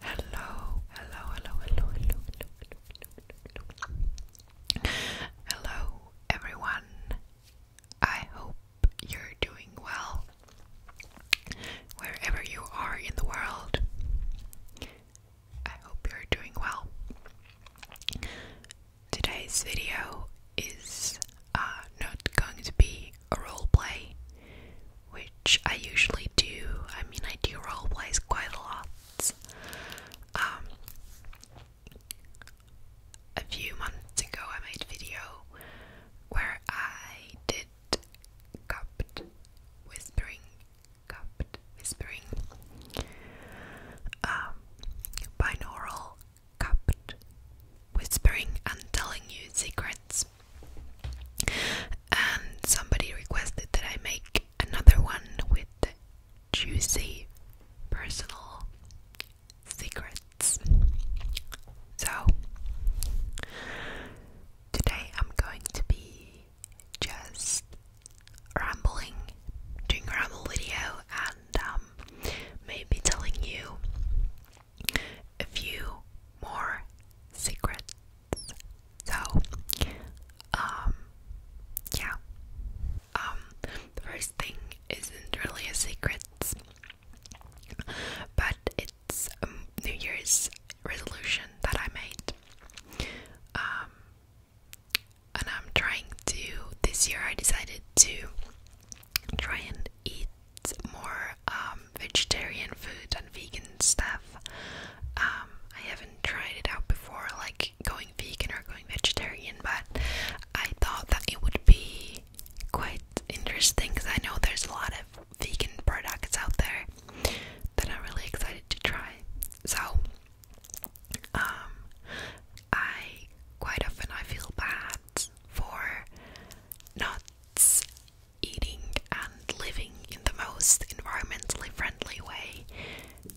Hello, hello, hello, hello, hello, hello, hello, hello. Hello, everyone. I hope you're doing well wherever you are in the world. I hope you're doing well. Today's video is uh, not going to be a roleplay, which I usually do. I mean, I do roleplays quite a lot. Um, a few months ago, I made a video where I did cupped whispering cupped whispering. Um, binaural cupped whispering and telling you secrets. And somebody requested that I make another one with juicy personal secrets. So today I'm going to be just rambling, doing a ramble video, and um, maybe telling you a few more secrets. So, um, yeah. Um, the first thing isn't really a secret, but it's a um, New Year's resolution that I made. Um, and I'm trying to this year I decided to try and eat more um, vegetarian food and vegan stuff. Um, I haven't tried it out before, like going vegan or going vegetarian, but I thought that it would be quite interesting because I know there's a lot of vegan products out there that I'm really excited to try. So um, I quite often I feel bad for not eating and living in the most environmentally friendly way,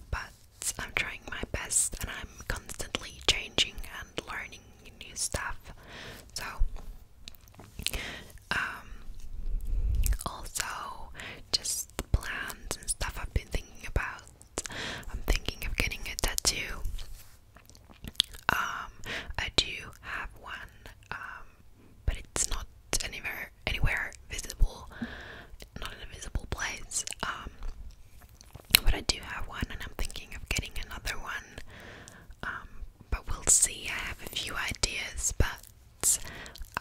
but I'm trying my best and I'm constantly changing and learning new stuff. So, um, also just plans and stuff I've been thinking about. I'm thinking of getting a tattoo. Um, I do have one, um, but it's not anywhere anywhere visible, not in a place. Um, but I do have one, and I'm thinking of getting another one. Um, but we'll see. I have a few ideas, but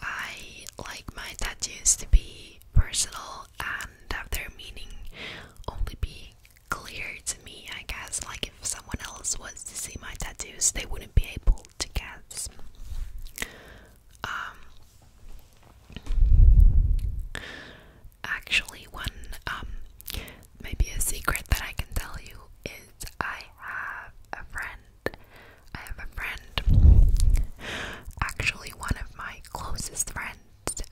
I like my tattoos to be personal and have their meaning only be clear to me, I guess. Like, if someone else was to see my tattoos, they wouldn't be able to guess. Um, actually, one, um, maybe a secret that I can tell you is I have a friend I have a friend, actually one of my closest friends,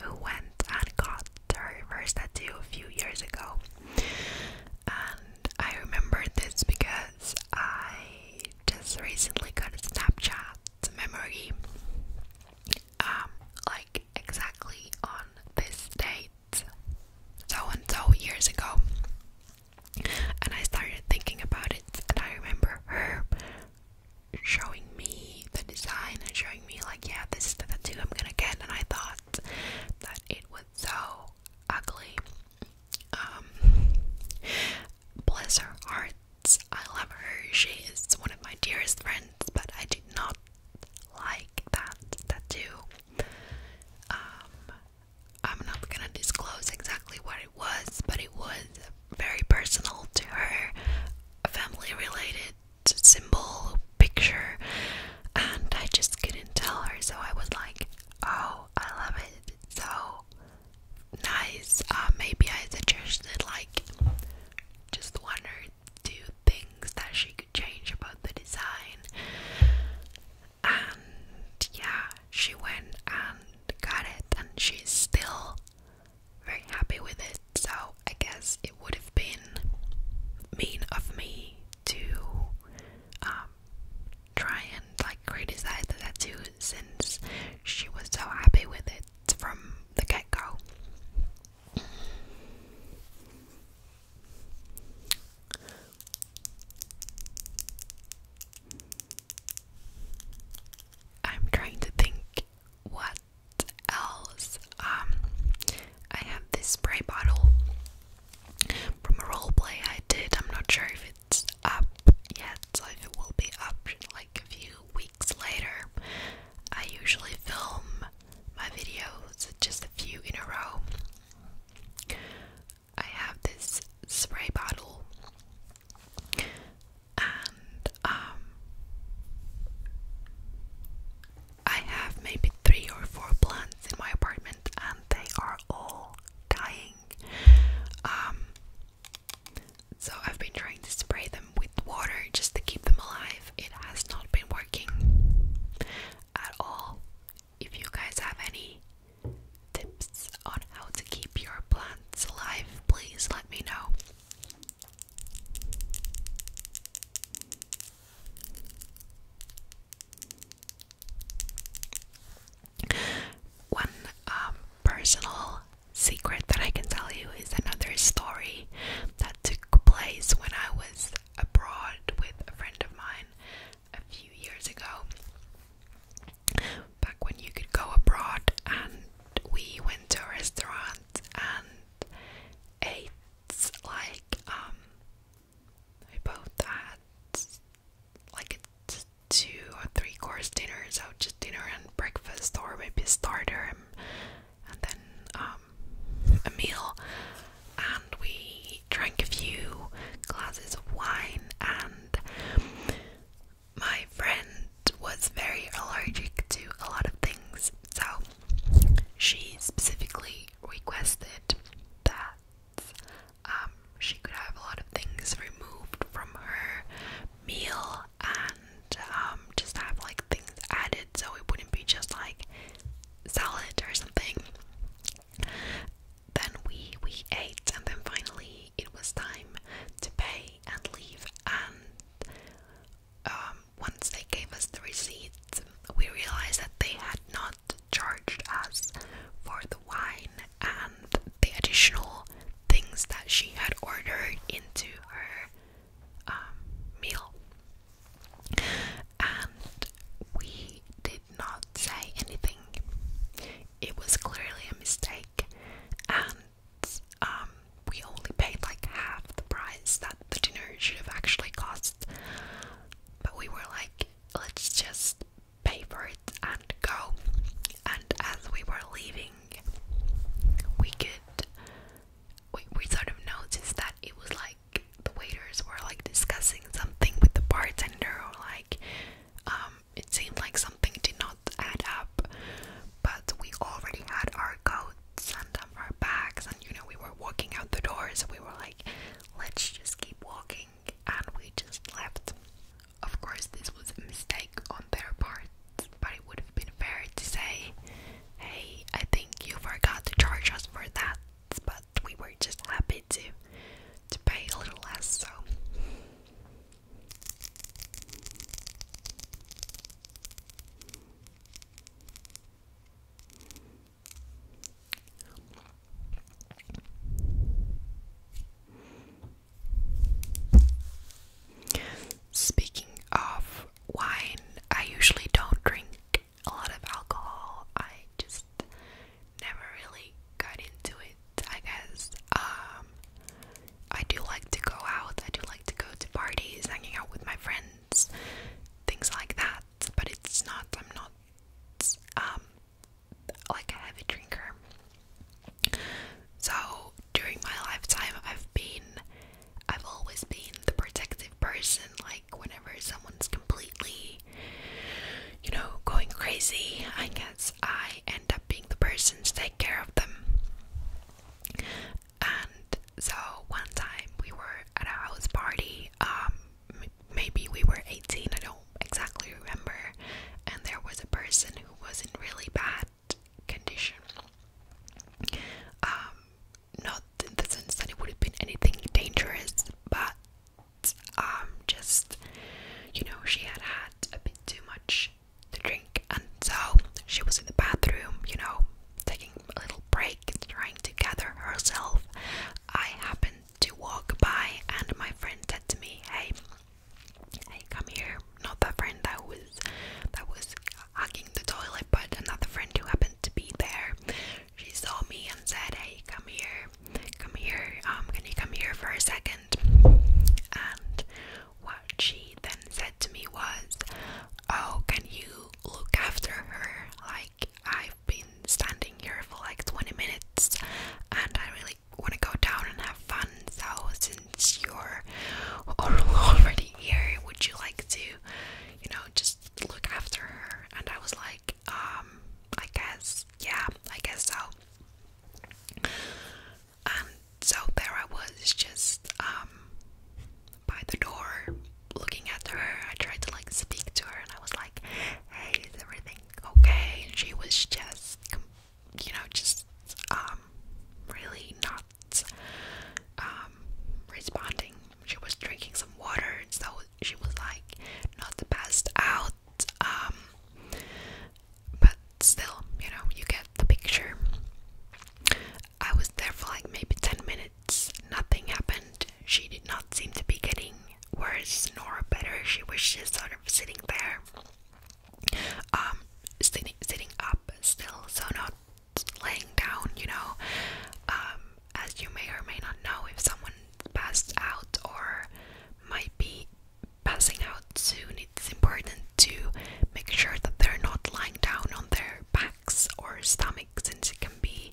who went and got her first tattoo a few years ago. And I remember this because I just recently got a Snapchat memory, um, like exactly on this date, so and so years ago. And I started thinking about it, and I remember her showing me the design and showing me, like, yeah, this is the tattoo I'm gonna get. And I thought that it was so ugly. Um, bless I love her, she is one of my dearest friends, but I did not like that tattoo. Um, I'm not gonna disclose exactly what it was, but it was very personal to her, a family related symbol, picture, and I just couldn't tell her. So I was like, oh, I love it. so nice. Uh, maybe I suggested, like, just one or two things that she could change about the design. And yeah, she went and got it and she's still very happy with it. So I guess it would have been mean of me to um, try and like criticize the tattoo since she was so happy with it from the get go. I'm trying to think what else. Um, I have this spray bottle from a role play I did. I'm not sure if it's up yet, so if it will be up like a few weeks later. I usually film my videos just a few in a row. I have this spray bottle and um, I have maybe three or four plants in my apartment, and they are all dying. Um, so I've been trying to spray them with water just to keep them alive. It has not been working at all. If you guys have any tips on how to keep your plants alive, please let me know. One um, personal secret that I can tell you is another story that took place when I was abroad with a friend of mine a few years ago back when you could go abroad and we went to a restaurant and ate like um we both had like a two or three course dinner, so just dinner and breakfast or maybe a starter and, and then um a meal and we drank a few glasses of wine and my friend was very allergic to a lot of things, so she specifically requested that um, she could have a lot of things removed from her meal and um, just have like things added so it wouldn't be just like salad or something. Then we we ate and then finally it was time to pay and leave. And um, once they gave us the receipt, we realized that they had not charged us for the wine and the additional things that she had ordered into her um, meal. And we did not say anything. It was clearly a mistake, and um, we only paid like half the price that the dinner should have actually cost. But we were like, let's just pay for it and go. And as we were leaving, we could we, we sort of noticed that it was like the waiters were like discussing something with the bartender or like um it seemed like something did not add up, but we already had our coats and our bags, and you know, we were walking out the door, so we were like, let's just keep walking, and we just left. Of course, this was a mistake on their part, but it would have been fair to say, hey, I think you forgot to charge us for that, but we were just happy to to pay a little less, so Speaking of wine, I usually don't drink a lot of alcohol. I just never really got into it. I guess. Um, I do like to go out, I do like to go to parties, hanging out with my friends, things like that. But it's not, I'm not um, like a heavy drinker. So during my lifetime, I've been, I've always been the protective person. Like whenever someone's completely, you know, going crazy, I guess I end up being the person to take care of them. And so one time we were at a house party, um, maybe we were 18, I don't exactly remember, and there was a person who was in really bad condition. Um, not in the sense that it would have been anything dangerous, but um, just you know, she had had a bit too much to drink, and so she was in the bathroom, you know, taking a little break and trying to gather herself. I happened to walk by, and my friend said to me, "Hey, hey, come here." Not that friend that was that was hugging the toilet, but another friend who happened to be there. She saw me and said, "Hey, come here, come here. Um, can you come here for a second? And what she then said to me was, Oh, can you look after her? Like, I've been standing here for like 20 minutes and I really want to go down and have fun. So, since you're already here, would you like to, you know, just look after her? And I was like, Um, I guess, yeah, I guess so and um, so there I was just um, by the door looking at her. I tried to like speak to her and I was like, Hey, is everything okay? she was just you know, just um, really not responding. She was drinking some water, and so she was like not the best out but still, you know, you get the picture. I was there for like maybe 10 minutes, nothing happened. She did not seem to be getting worse nor better. She was just sort of sitting there, um, sitting, sitting up still, so not laying down, you know. Um, as you may or may not know, if someone passed out or might be passing out soon, it's important to make sure that they're not lying down on their backs or stomachs, since it can be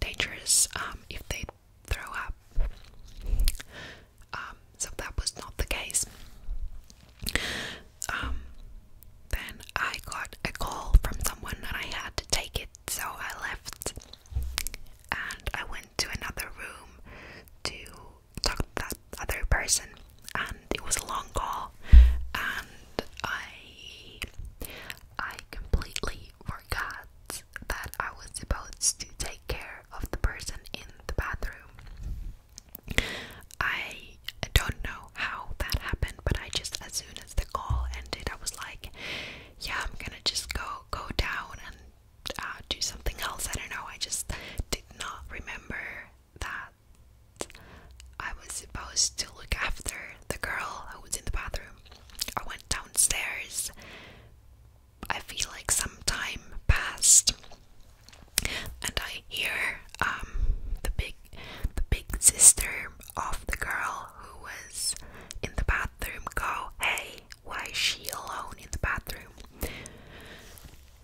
dangerous um, if they throw up. Um, so that was not the case. Um, then I got a call from someone and I had to take it, so I left and I went to another room to talk to that other person and it was a long call and I I completely forgot that I was supposed to take care of the person in the bathroom. I don't know how that happened, but I just as soon as the call ended, I was like, yeah, I'm gonna just go go down and uh, do something else. I don't know. I just did not remember that I was supposed to look after the girl who was in the bathroom. I went downstairs. I feel like some time passed, and I hear um the big the big sister of the girl who was in the bathroom go, "Hey, why is she alone in the bathroom?"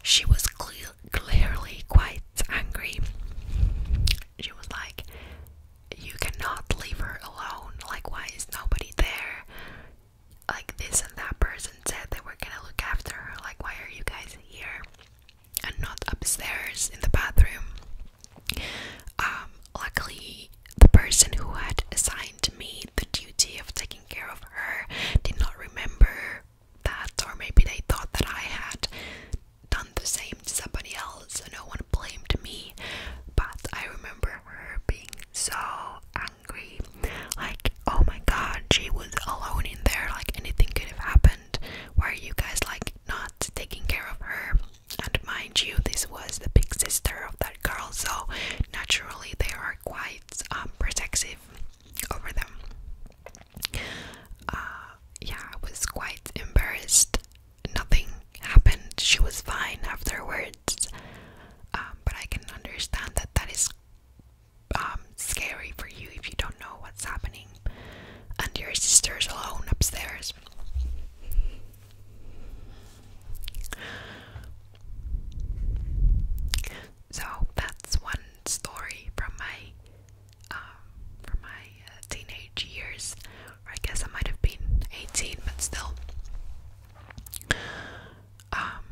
she was clearly quite angry. She was like, You cannot leave her alone. Like, nobody there? Like, this and that person said they were gonna look after her. Like, why are you guys here and not upstairs in the bathroom? Um, luckily, the person who had assigned me the duty of taking care of her did not remember that, or maybe they thought that I had done the same to somebody else, and no one blamed me. But I remember her being so angry, like, oh my god, she was alone in there, like anything could have happened. Why are you guys like not taking care of her? And mind you, this was the big sister of that girl, so naturally they are quite um, protective over them. Uh, yeah, I was quite embarrassed. Nothing happened. She was fine afterwards. Um, but I can understand that that is um, scary for you if you don't know what's happening and your sister's alone upstairs. So that's one story from my um, from my uh, teenage years, I guess I might have been 18, but still. Um,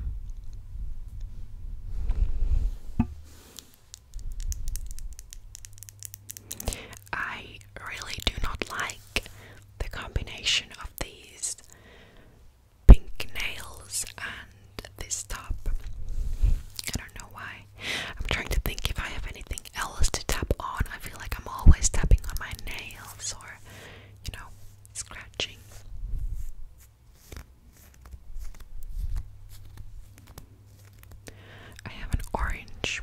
I really do not like the combination of these pink nails and this top. I don't know why. I'm trying to think if I have anything else to tap on. I feel like I'm always tapping on my nails or, you know, scratching. I have an orange.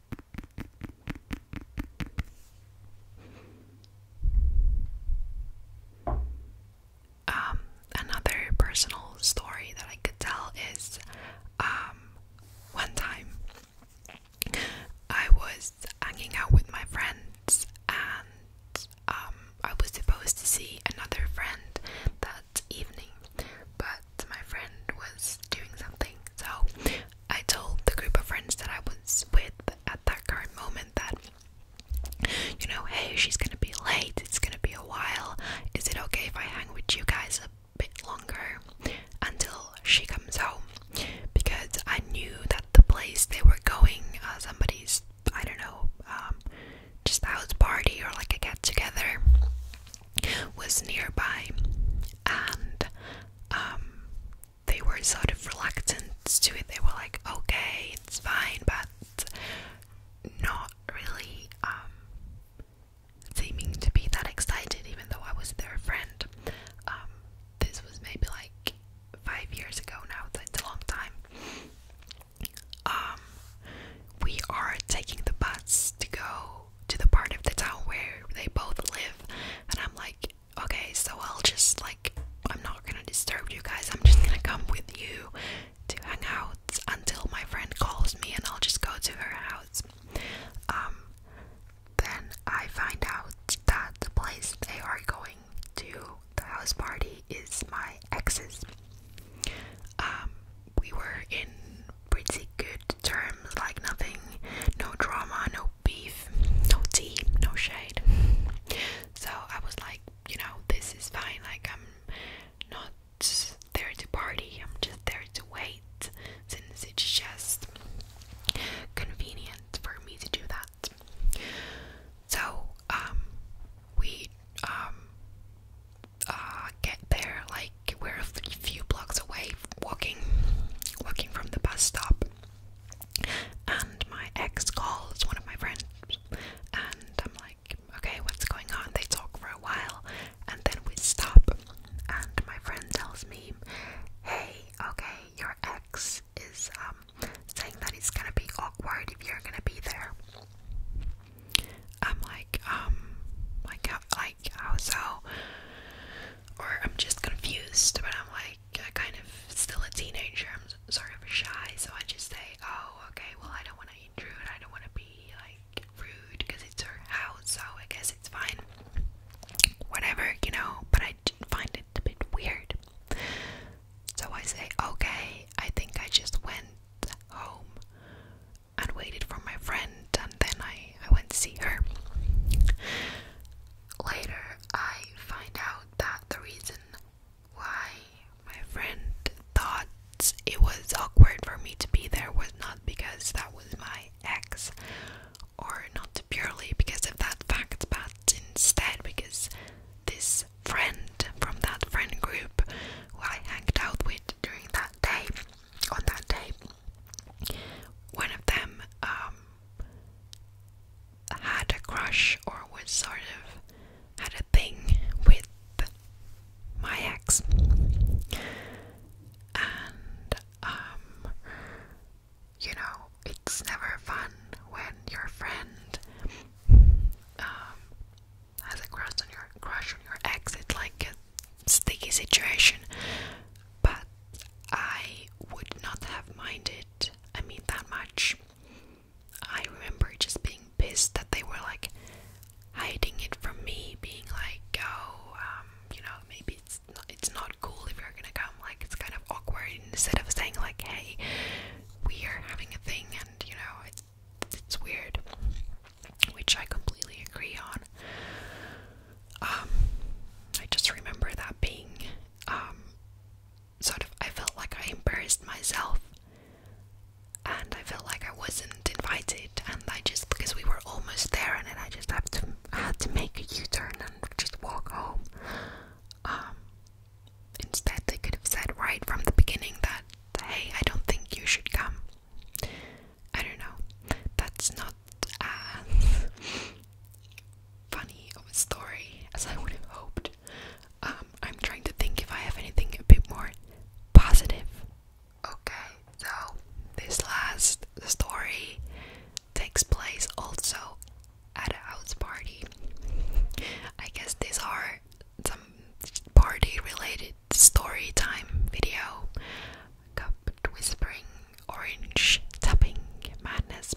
Um, another personal story that I could tell is um, one time I was hanging out with my friends and um, I was supposed to see another friend that evening, but my friend was doing something. So I told the group of friends that I was with at that current moment that, you know, hey, she's gonna be late, it's gonna be a while. Is it okay if I hang with you guys a bit longer until she comes home? Because I knew that the place they were going, uh, somebody's, I don't know, um, just a house party or like a get together was nearby, and um, they were sort of reluctant to it. They were like, okay, it's fine, but not really um, seeming to be that excited, even though I was their friend. Um, this was maybe like five years ago now, so it's a long time. Um, we are taking the bus to go to the part of the town where they both live, and I'm like, okay, so I'll just like, I'm not gonna disturb you guys, I'm just gonna come with you to hang out until my friend calls me, and I'll just go to her house. Um, then I find out that the place they are going to the house party is my ex's. Um, we were in pretty good terms, like nothing, no drama, no beef, no tea, no shade. So I was like, you know, this is fine. Like I'm not there to party. I'm just there to wait, since it's just convenient for me to do that. So um, we um uh get there like we're a few blocks away walking walking from the bus stop and my ex calls one of my friends and I'm like okay what's going on they talk for a while and then we stop and my friend tells me hey okay your ex is um saying that it's gonna be awkward if you're gonna be there I'm like um like like so or I'm just confused but I'm like I kind of still a teenager I'm sorry, I'm shy so I just say oh okay well I don't want to intrude I don't want to be like rude because it's her house so I guess it's fine whatever you know but I find it a bit weird so I say okay I think I just went home and waited for my friend, and then I, I went to see her. Later, I find out that the reason why my friend thought it was awkward for me to be there was not because that was my ex, or not purely because of that fact, but instead because this friend from that friend group who I hanged out with during that day, on that day, one of them um, had a crush or was sort of had a thing with my ex, and um, you know it's never fun when your friend um, has a crush on your crush on your ex. It's like sticky situation, but I would not have minded, I mean, that much. I remember just being pissed that they were like hiding it from me, being like, oh, um, you know, maybe it's not, it's not cool if you're gonna come, like, it's kind of awkward instead of saying, like, hey, we are having a thing and, you know, it's weird, which I completely agree on. Um, I just remember that being um, sort of, I felt like I embarrassed myself and I felt like I wasn't invited and I just, because we were almost there and I just have to, had to make a U-turn and just walk home. Um, instead they could have said right from the beginning that, hey, I don't think you should come. I don't know. That's not as funny of a story as I would have hoped. Um, I'm trying to think if I have anything a bit more positive. Okay, so this last story takes place also at a house party. I guess these are some party related story time video cupped whispering, orange tapping madness.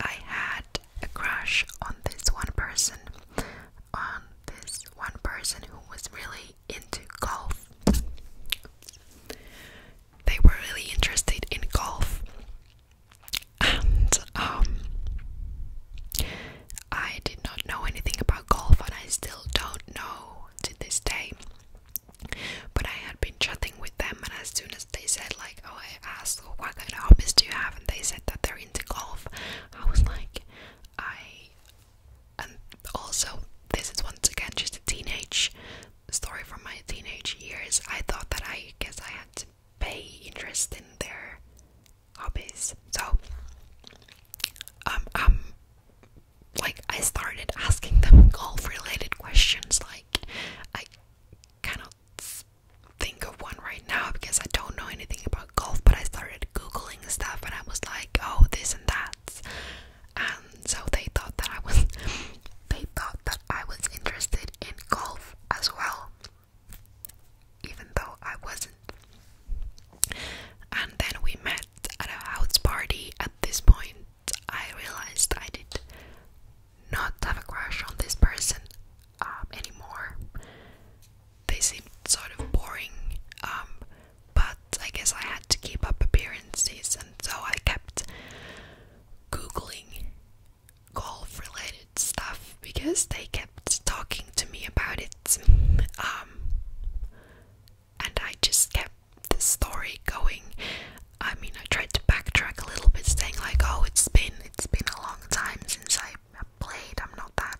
I had a crush on this one person, on this one person who was really into golf. They were really interested in golf, and um, I did not know anything about golf, and I still don't know to this day. But I had been chatting with them, and as soon as they said, like, oh, I asked, what kind of hobbies do you have? And they said that they're into golf. I was like, I. also, this is once again just a teenage story from my teenage years. I thought that I guess I had to pay interest in their hobbies. So, um, i like I started asking them golf related questions like I cannot think of one right now because I don't know anything about golf but I started googling stuff and I was like oh this and that and so they thought that I was they thought that I was interested in golf as well even though I wasn't and then we met at a house party. At this point, I realized I did not have a crush on this person um, anymore. They seemed sort of boring, um, but I guess I had to keep up appearances, and so I kept googling golf related stuff because they kept talking to me about it. Um, and I just kept the story going. I mean, I tried to backtrack a little bit, saying like, "Oh, it's been it's been a long time since I played. I'm not that.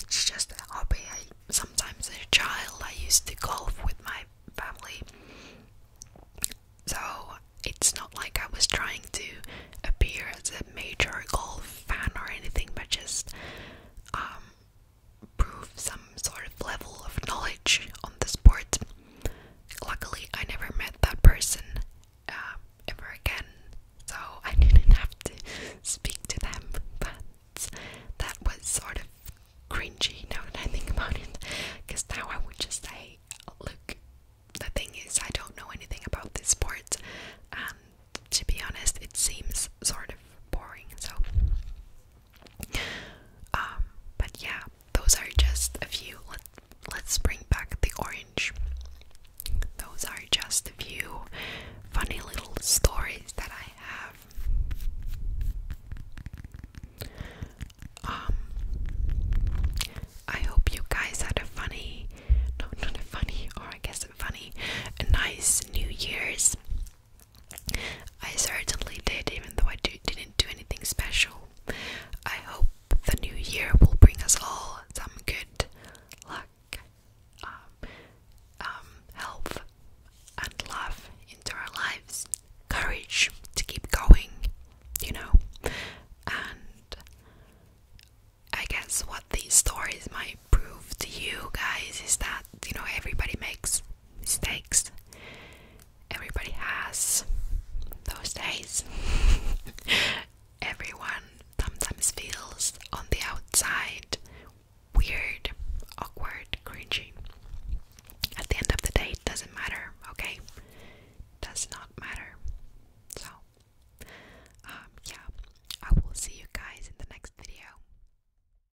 It's just a hobby. sometimes as a child I used to golf with my family, so it's not like I was trying to appear as a major golf fan or anything, but just um, prove some sort of level of knowledge on the sport. Luckily, I never met that person uh, ever again, so I didn't have to speak to them. But that was sort of cringy now that I think about it, because now I would just say, Look, the thing is, I don't know anything about this sport, and to be honest, it seems sort of boring. So, um, but yeah, those are just a few. Let, us bring back the orange. Those are just a few funny little stories that I have. Um, I hope you guys had a funny, no, not a funny, or I guess funny, a nice New Year's. I certainly did, even though I didn't do anything special. I hope the new year will bring us all some good luck, um, um, health, and love into our lives. Courage to keep going, you know. And I guess what these stories might prove to you guys is that, you know, everybody makes mistakes. Everybody has those days. Everyone sometimes feels on the outside weird, awkward, cringy. At the end of the day, it doesn't matter, okay? Does not matter. So, um, yeah, I will see you guys in the next video.